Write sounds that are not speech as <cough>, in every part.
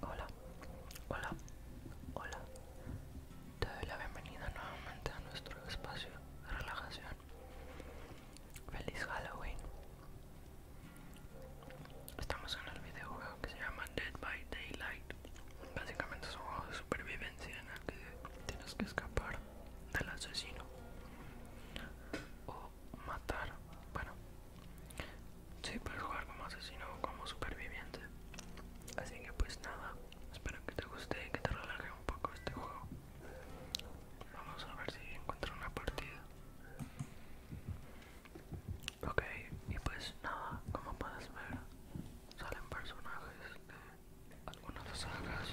Hola, hola, hola. Te doy la bienvenida nuevamente a nuestro espacio de relajación. Feliz Halloween. Estamos en el videojuego que se llama Dead by Daylight. Básicamente es un juego de supervivencia en el que tienes que escapar del asesino matar. Bueno, si puedes jugar como asesino o como superviviente. Así que, pues nada, espero que te guste y que te relaje un poco este juego. Vamos a ver si encuentro una partida. Ok, y pues nada, como puedes ver, salen personajes de algunas sagas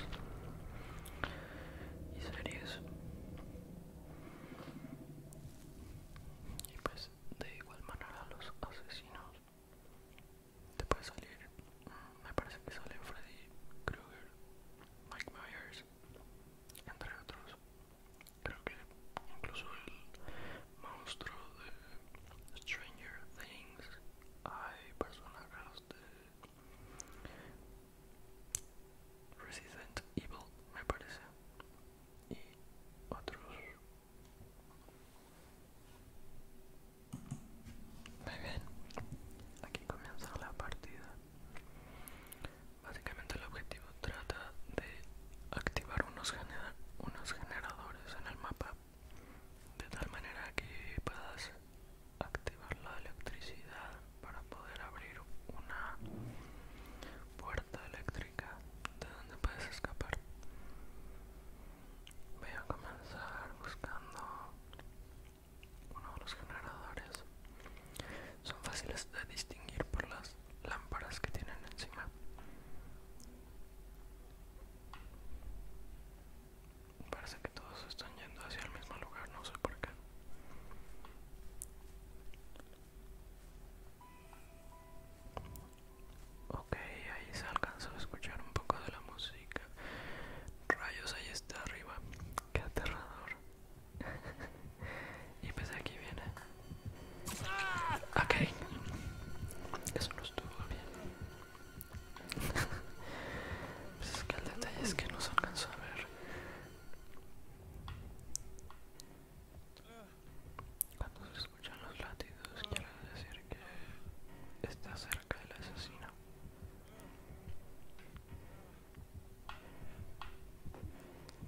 y series y pues de igual manera los asesinos te puede salir me parece que salen Freddy Krueger Mike Myers entre otros creo que incluso el monstruo de Stranger Things hay personajes de Resident Evil me parece y otros muy bien aquí comienza la partida básicamente el objetivo trata de activar unos, unos generadores en el mapa de tal manera que puedas activar la electricidad para poder abrir una puerta eléctrica de donde puedes escapar. Voy a comenzar buscando uno de los generadores. Son fáciles de distinguir por las lámparas que tienen encima. Parece que todos están yendo hacia el mismo lugar, no sé por qué. Ok, ahí se alcanzó a escuchar un poco de la música. Rayos, ahí está arriba. Qué aterrador. <laughs> y pues aquí viene. Ok. Eso no estuvo bien. <laughs> pues es que el detalle es que no se alcanzó a ver. Cuando se escuchan los latidos quiere decir que está cerca del asesino.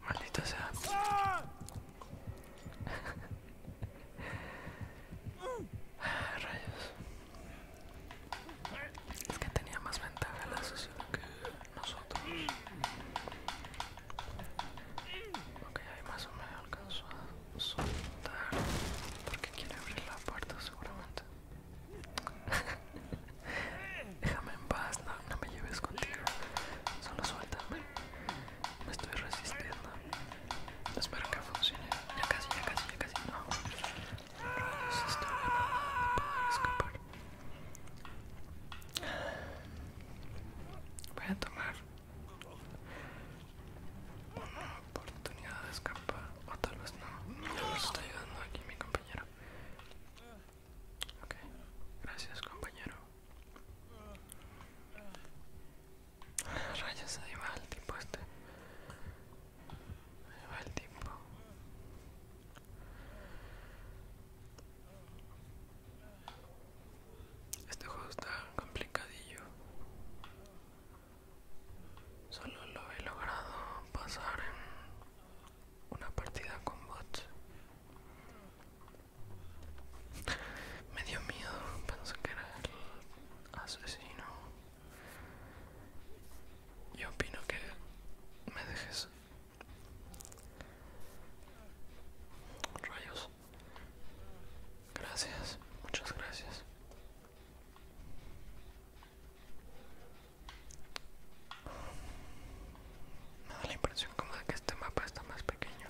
Maldita sea. <laughs> Rayos. Es que tenía más ventaja el asesino que nosotros. Ok, ahí más o menos alcanzó a soltar porque quiere abrir la puerta seguramente. <laughs> Déjame en paz, no, me lleves contigo. Solo suéltame. Me estoy resistiendo. Espero que funcione. Ya casi, ya casi, ya casi. No. Voy a tomar una oportunidad de escapar, o tal vez no. Ya nos está ayudando aquí mi compañero. Ok, gracias compañero. Rayas, ahí va el tipo este. Ahí va el tipo. Este juego está complicadillo. Solo lo he logrado pasar en una partida con bots. Me dio miedo, pensé que era el asesino. Yo opino que me dejes Rayos. Gracias, muchas gracias. Me da la impresión como de que este mapa está más pequeño.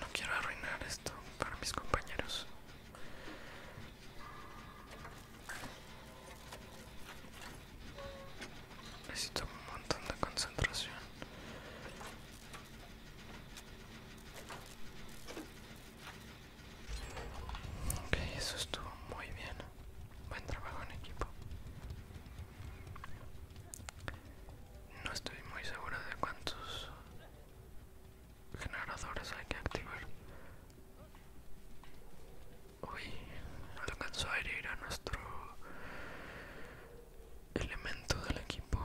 No quiero arruinar esto para mis compañeros. Necesito un montón de concentración. Ok, eso estuvo muy bien. Buen trabajo en equipo. No estoy muy segura de cuántos generadores hay que activar Uy, alcanzó a herir a nuestro elemento del equipo.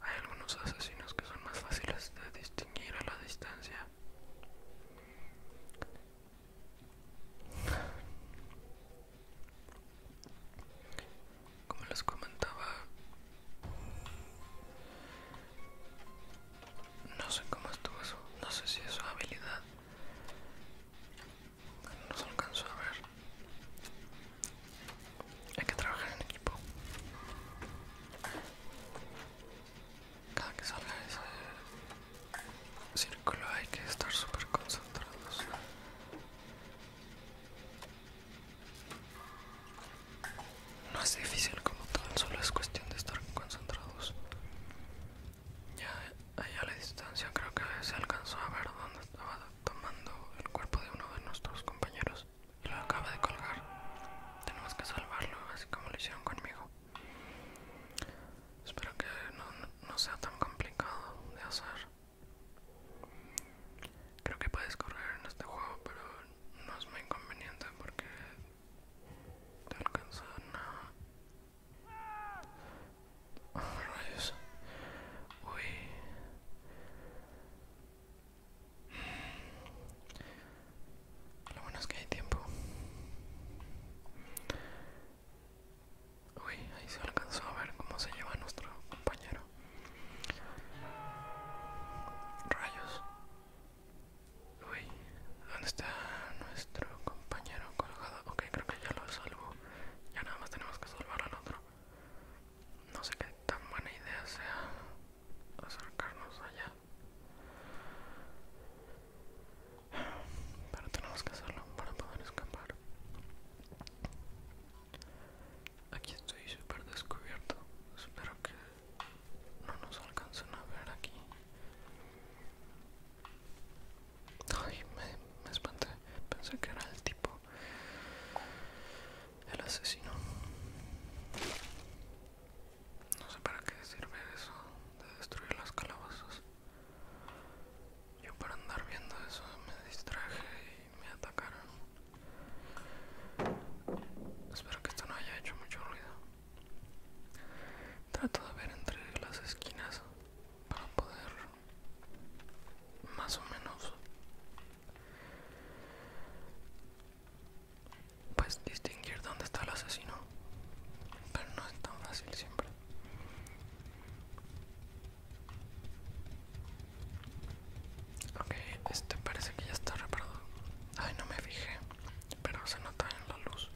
Hay algunos asesinos que son más fáciles de distinguir a la distancia como les comentaba no sé cómo estuvo eso no sé si es su habilidad no se alcanzó a ver hay que trabajar en equipo cada que salga ese círculo hay que estar súper concentrados no es difícil como tal, solo es cuestión de estar concentrados. Ya allá a la distancia creo que se alcanzó a ver dónde estaba tomando el cuerpo de uno de nuestros compañeros y lo acaba de colgar. Tenemos que salvarlo, así como lo hicieron conmigo. Espero que no sea tan complicado de hacer. Creo que puedes correr en este juego, pero no es muy inconveniente porque te alcanzan a... Uy. Lo bueno es que hay tiempo. Uy, ahí se alcanzó a ver cómo se lleva nuestro compañero. Rayos. Uy, ¿dónde está nuestro compañero colgado? Ok, creo que ya lo salvo. Ya nada más tenemos que salvar al otro. No sé qué tan buena idea sea acercarnos allá. Pero tenemos que hacerlo para poder escapar. Aquí estoy súper descubierto. Espero que no nos alcancen a ver aquí. Ay, me, me espanté. Pensé que era el tipo. El asesino. No sé para qué sirve eso de destruir las calabazas. Yo para andar viendo eso me distraje y me atacaron. Espero que esto no haya hecho mucho ruido. Trato de ver entre las esquinas para poder más o menos pues distinguir dónde está el asesino pero no es tan fácil siempre Ok, este parece que ya está reparado. Ay, no me fijé, pero se nota en la luz.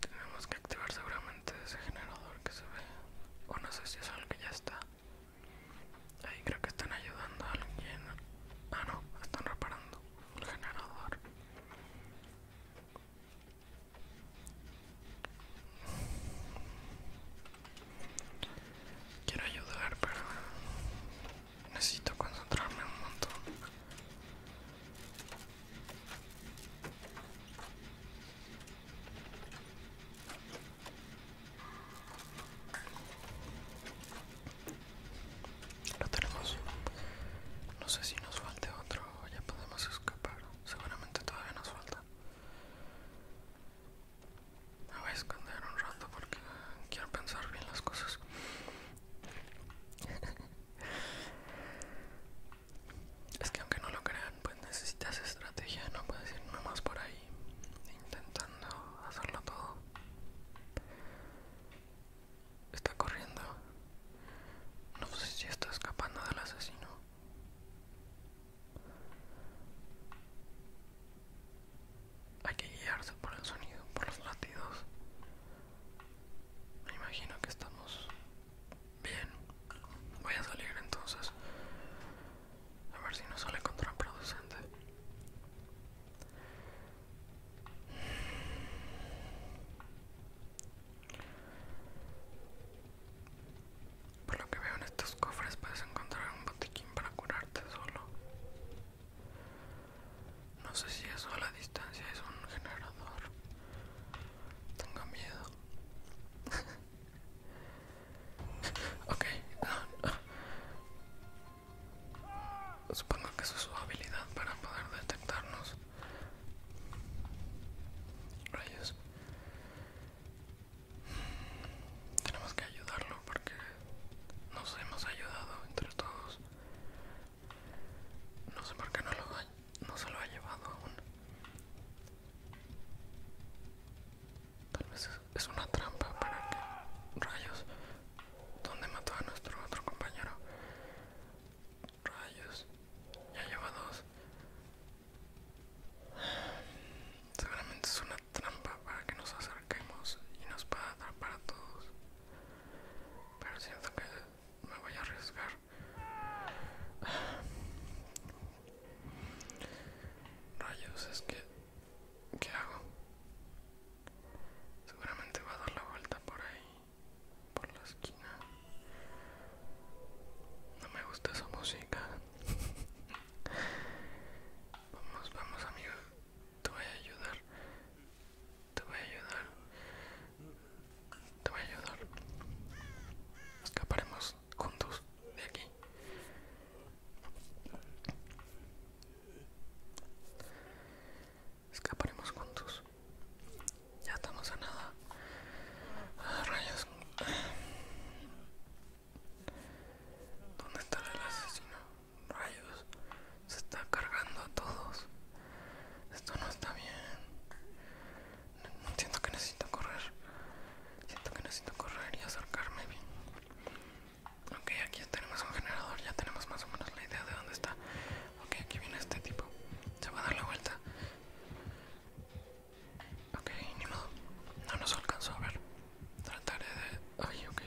Tenemos que activar seguramente ese generador que se ve. O no sé si es el que ya está. Ahí creo que están ayudando a alguien. Ah, no, están reparando el generador. Quiero ayudar, pero necesito concentrarme un montón. Lo tenemos. No sé si nos falte otro ya podemos escapar. Seguramente todavía nos falta. Me voy a esconder un rato porque quiero pensar bien las cosas. <laughs> Es que aunque no lo crean, pues necesitas estrategia, no puedes ir nomás por ahí intentando hacerlo todo. Está corriendo. No sé si está escapando del asesino. Hay que guiarse por el sonido, por los latidos. Me imagino que estamos bien. Voy a salir entonces. A ver si no sale contraproducente. Por lo que veo en estos cofres puedes encontrar un botiquín para curarte solo. No sé si eso a la distancia es un generador. Tengo miedo. <laughs> Ok, ah, Supongo que es su habilidad para poder detectarnos. Rayos. Tenemos que ayudarlo porque nos hemos ayudado entre todos. No sé por qué no, lo no se lo ha llevado aún. Tal vez es una trampa para que... Rayos, ¿dónde mató a nuestro otro compañero? Rayos, ya lleva dos. Seguramente es una trampa para que nos acerquemos y nos pueda atrapar a todos. Pero siento que me voy a arriesgar. Rayos, es que ¿Qué hago? Seguramente va a dar la vuelta por ahí, por la esquina. No me gusta esa música. <laughs> vamos, vamos, amigo. Te voy a ayudar. Te voy a ayudar. Te voy a ayudar. Escaparemos juntos de aquí escaparemos juntos ya estamos a nada ah, rayos ¿Dónde está el asesino? Rayos, se está cargando a todos. Esto no está bien. No, siento que necesito correr. Siento que necesito correr y acercarme bien. Ok, aquí tenemos un generador, ya tenemos más o menos la idea de dónde está. Ok, aquí viene este tipo. Se va a dar la vuelta. Ok, ni modo. No nos alcanzó a ver. Trataré de... Ay, ok.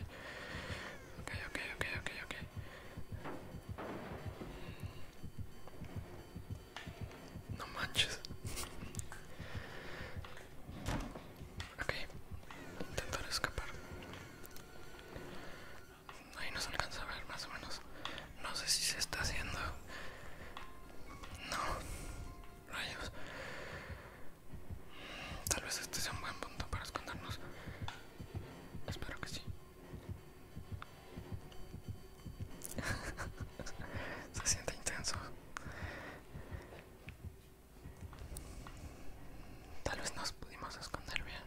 Ok, ok, ok, ok, ok. No manches. Ok, intentar escapar. Ahí nos alcanza a ver más o menos. No sé si se está haciendo. No, rayos. Tal vez este sea un buen punto para escondernos. Espero que sí. <laughs> se siente intenso. Tal vez nos pudimos esconder bien.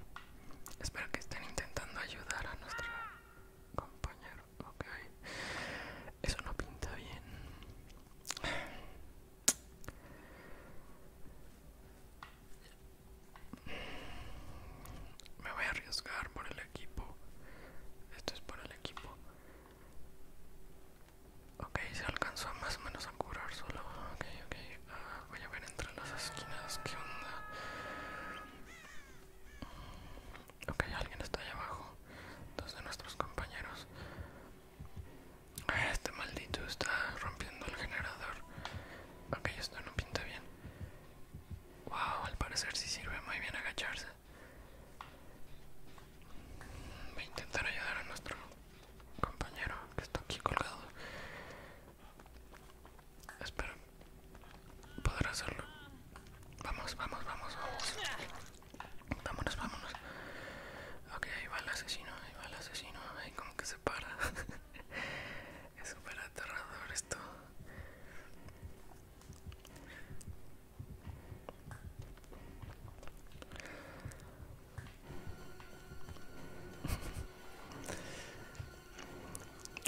Espero que estén intentando ayudar a nuestro compañero. okay Eso no pinta bien. Me voy a arriesgar por el equipo. Esto es por el equipo. Ok, se alcanzó más o menos a curar solo. Ok, ok. Ah, voy a ver entre las esquinas qué onda. Ok, alguien está ahí abajo. Dos de nuestros compañeros. Este maldito está rompiendo el generador. Ok, esto no pinta bien. Wow, al parecer sí sirve muy bien agacharse. Voy a intentar ayudar a nuestro compañero que está aquí colgado. Espero poder hacerlo. Vamos, vamos, vamos, vamos. Vámonos, vámonos. Ok, ahí va el asesino, ahí va el asesino. Ahí como que se para. <laughs> es súper aterrador esto.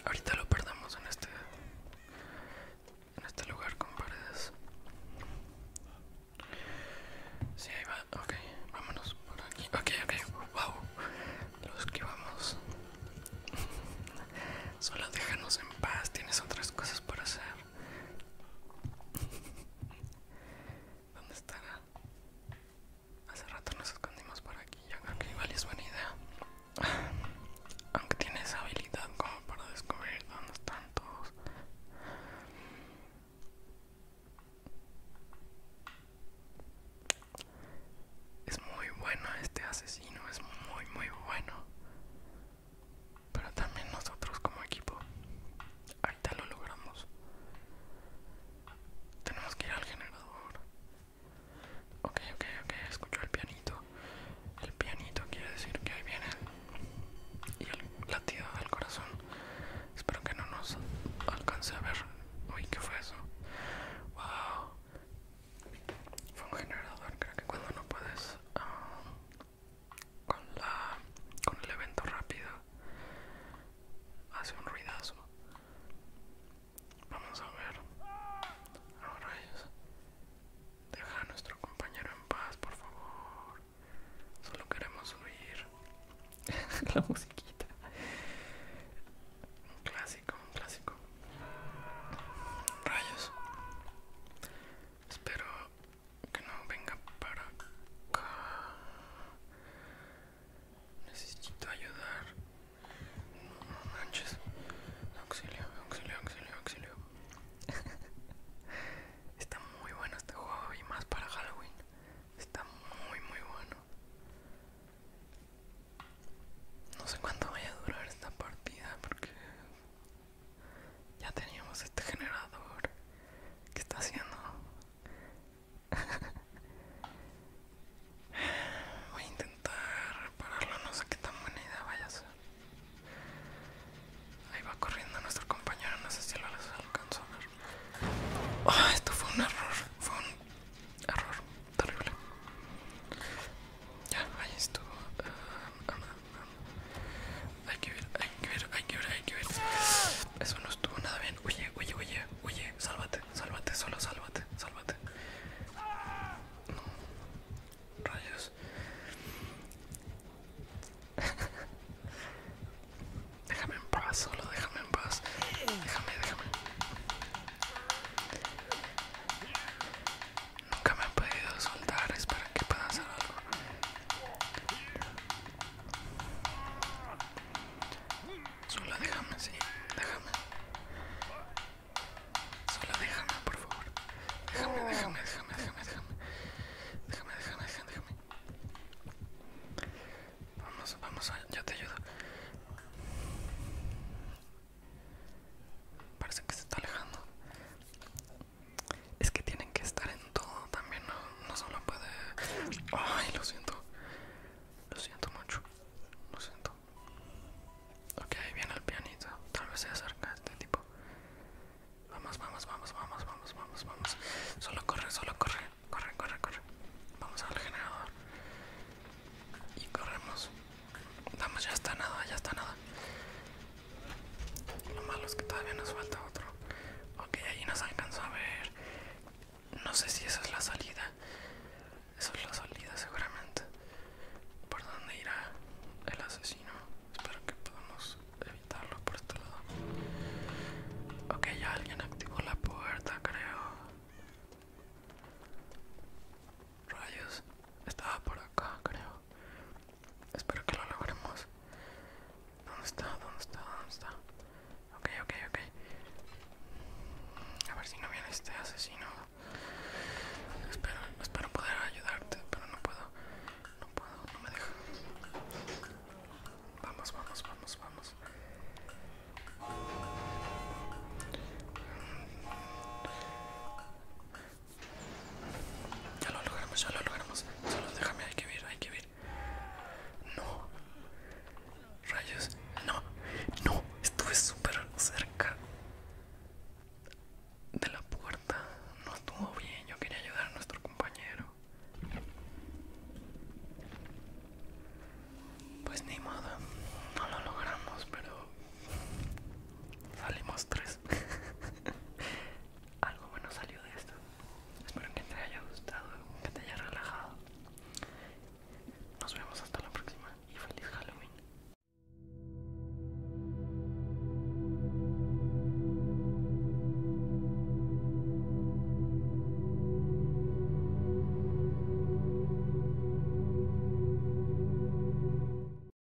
Ahorita lo perdamos en este en este lugar con paredes. Sí, ahí va. Ok, vámonos por aquí. Ok, ok. Wow. Lo esquivamos. <laughs> Solo déjanos en paz. Tienes otras cosas por hacer. ¿Dónde estará? Hace rato nos escondimos por aquí. Yo creo que igual es buena idea. Aunque tiene esa habilidad como para descubrir dónde están todos. Es muy bueno este asesino, es muy muy bueno pero también nosotros como equipo ahorita lo logramos tenemos que ir al generador ok ok ok escucho el pianito el pianito quiere decir que ahí viene y el latido del corazón espero que no nos alcance a ver uy ¿qué fue eso wow fue un generador creo que cuando no puedes ah, con la con el evento rápido hace un ruidazo vamos a ver deja a nuestro compañero en paz por favor solo queremos oír <laughs> la musiquita un clásico un clásico rayos espero que no venga para acá. Necesito ayudar. No manches. Auxilio, auxilio, auxilio, auxilio. <laughs> Está muy bueno este juego y más para Halloween. Está muy, muy bueno. No sé cuánto vaya a durar esta partida porque ya teníamos este generador. que está haciendo? <laughs> Voy a intentar repararlo, no sé qué tan buena idea vaya a ser. Ahí va corriendo nuestro compañero, no sé si lo alcanzó a ver. Ah, esto fue un error, fue un error terrible. Ya, ahí estuvo. Eh, hay que ver, hay que ver, hay que ver, hay que ver. Eso no estuvo nada bien. Oye, oye, huye, oye, sálvate, sálvate, solo sálvate, sálvate. No. Rayos. <laughs> déjame en paz, solo déjame en paz. Déjame, déjame. Nunca me han podido soltar, es para que pueda hacer algo. Sola, déjame, sí, déjame. Sola, déjame, por favor. Déjame, déjame, déjame, déjame, déjame. Déjame, déjame, déjame, déjame. Vamos, vamos, yo te ayudo. Parece que se está alejando es que tienen que estar en todo también, no, solo puede... Ay, lo siento. Lo siento mucho. Lo siento. Ok, ahí viene el pianito. Tal vez se acerca este tipo. Vamos, vamos, vamos, vamos, vamos, vamos, vamos. Solo corre, solo corre. Corre, corre, corre. Vamos al generador. Y corremos. Vamos, ya está nada, ya está nada. Lo malo es que todavía nos falta otro. Ok, ahí nos alcanzó a ver. No sé si esa es la salida. Esa es la salida seguramente. ¿Por dónde irá el asesino? Espero que podamos evitarlo por este lado. Ok, ya alguien activó la puerta, creo. Rayos, estaba por acá, creo. Espero que lo logremos. ¿Dónde está? ¿Dónde está? ¿Dónde está? Ok, ok, ok. A ver si no viene este asesino. Espero, espero poder ayudarte, pero no puedo. No puedo, no me deja. Vamos, vamos, vamos, vamos. Ya lo logramos, ya lo logramos. Solo déjame, hay que ver, hay que ver. No. Rayos. No. No. Estuve súper cerca de la puerta. No estuvo bien. Yo quería ayudar a nuestro compañero. Pues ni modo. No lo logramos, pero Salimos tres. <laughs> Algo bueno salió de esto. Espero que te haya gustado, que te haya relajado. Nos vemos hasta la próxima y feliz Halloween.